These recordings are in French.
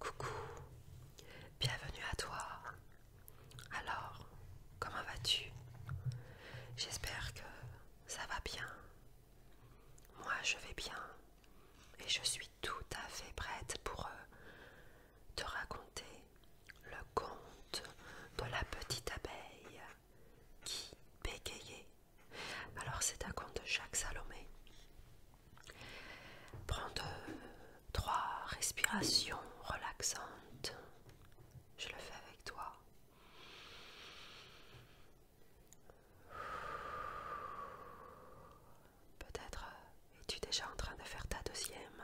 Coucou, bienvenue à toi. Alors, comment vas-tu J'espère que ça va bien. Moi, je vais bien et je suis tout à fait prête pour euh, te raconter le conte de la petite abeille qui bégayait alors c'est à compte de Jacques Salomé. Prends deux, trois respirations relaxantes. Je le fais avec toi. Peut-être euh, es-tu déjà en train de faire ta deuxième.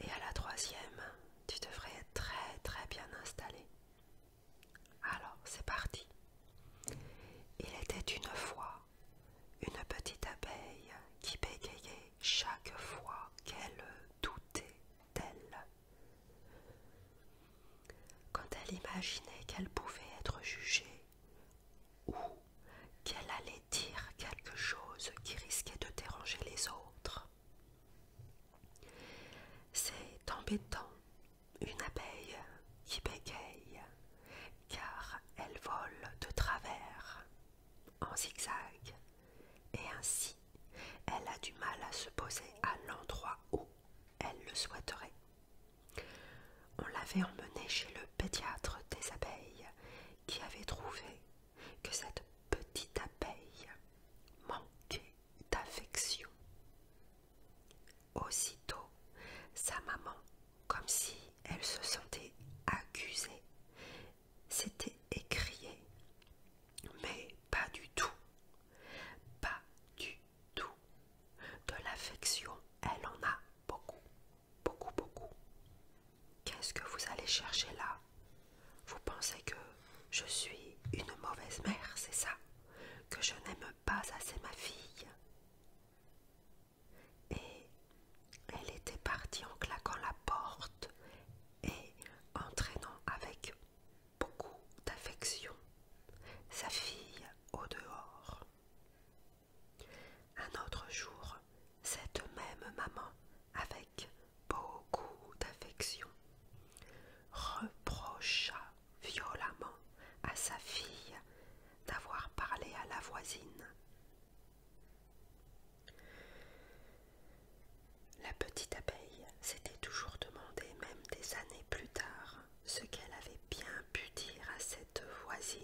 Et à la troisième, tu devrais être très très bien installé. Alors c'est parti. Il était une fois une petite abeille qui bégayait chaque fois qu'elle doutait d'elle. Quand elle imaginait qu'elle pouvait être jugée ou qu'elle allait dire quelque chose qui risquait de déranger les autres, c'est embêtant, une abeille qui bégaye, car elle vole de travers, en zigzag, et ainsi elle a du mal à se poser à l'endroit où elle le souhaiterait. On l'avait emmenée chez le pédiatre des abeilles qui avait trouvé que cette petite abeille manquait d'affection. Aussitôt, sa maman, comme si elle se sentait accusée, s'était écriée. Mais pas du tout, pas du tout. De l'affection, elle en a beaucoup, beaucoup, beaucoup. Qu'est-ce que vous allez chercher là Vous pensez que je suis une mauvaise mère, c'est ça Que je n'aime pas assez ma fille Et elle était partie en claquant la porte et entraînant avec beaucoup d'affection sa fille au dehors. Un autre jour, cette même maman, avec beaucoup d'affection, reprocha violemment à sa fille d'avoir parlé à la voisine. La petite abeille s'était toujours demandé, même des années plus tard, ce qu'elle avait bien pu dire à cette voisine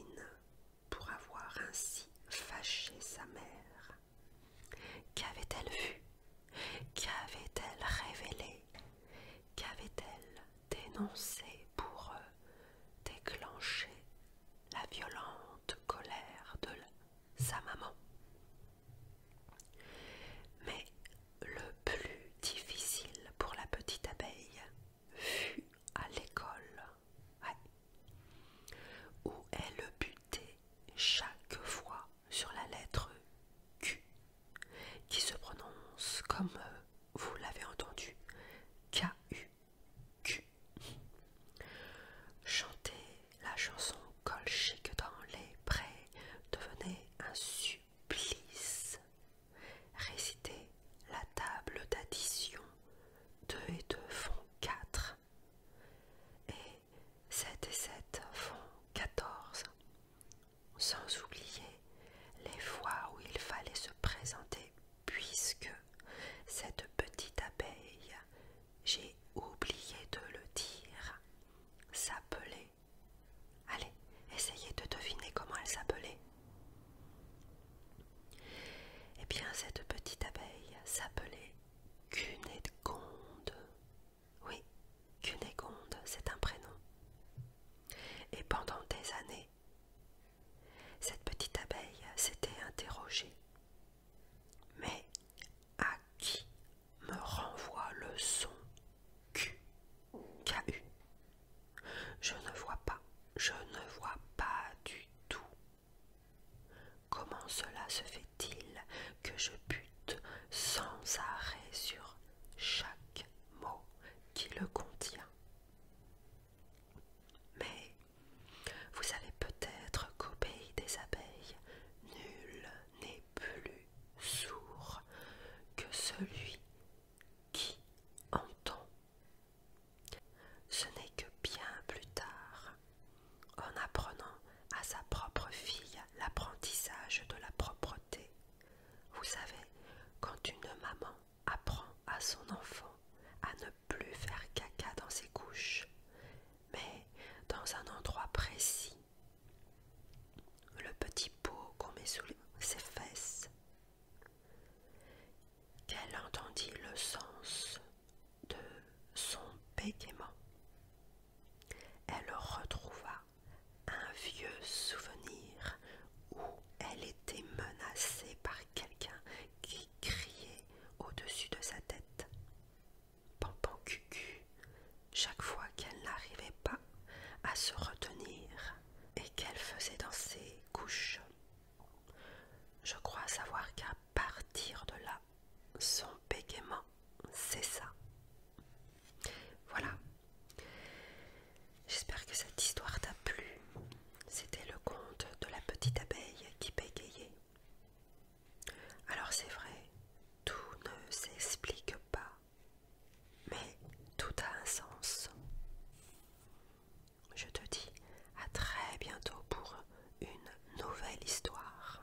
pour avoir ainsi fâché sa mère. Qu'avait-elle vu Qu'avait-elle révélé Qu'avait-elle dénoncé pour euh, déclencher la violente colère de sa maman Mais le plus difficile pour la petite abeille fut à l'école, où elle butait chaque fois sur la lettre Q, qui se prononce comme euh, vous l'avez entendu, K-U. Q. Chanter la chanson colchique dans les prés devenait un supplice. Récitez la table d'addition. 2 et 2 font 4. Et 7 et 7 font 14. Sans oublier les fois où il fallait se présenter puisque cette petite abeille, j'ai oublié de le dire, s'appelait Allez, essayez de deviner comment elle s'appelait. Eh bien, cette petite abeille s'appelait Cunégonde. Oui, Cunégonde, c'est un prénom. Et pendant des années, cette petite abeille s'était interrogée. Mais à qui me renvoie le son Q. k Je ne vois pas, je ne vois pas du tout. Comment cela se fait-il que je bute sans arrêt sur chaque mot qui le contient Mais vous savez peut-être qu'au des abeilles, Nul n'est plus sourd que celui qui entend. Ce n'est que bien plus tard, en apprenant à sa propre fille l'apprentissage de la propreté. Vous savez, quand une maman apprend à son enfant à ne plus faire caca dans ses couches, mais dans un endroit précis. Le petit pot qu'on met sous ses fesses. Qu'elle entendit le sens de son bégaiement. Elle retrouva un vieux souvenir où elle était menacée par quelqu'un qui crier au-dessus de sa tête. Pampan Cucu, chaque fois qu'elle n'arrivait pas à se retenir et qu'elle faisait dans ses couches. Je crois savoir qu'à partir de là, son bégaiement ça. Voilà. J'espère que cette histoire t'a plu. C'était le conte de la petite abeille qui bégayait. Alors c'est vrai, tout ne s'explique pas, mais tout a un sens. Je te dis à très bientôt pour une nouvelle histoire.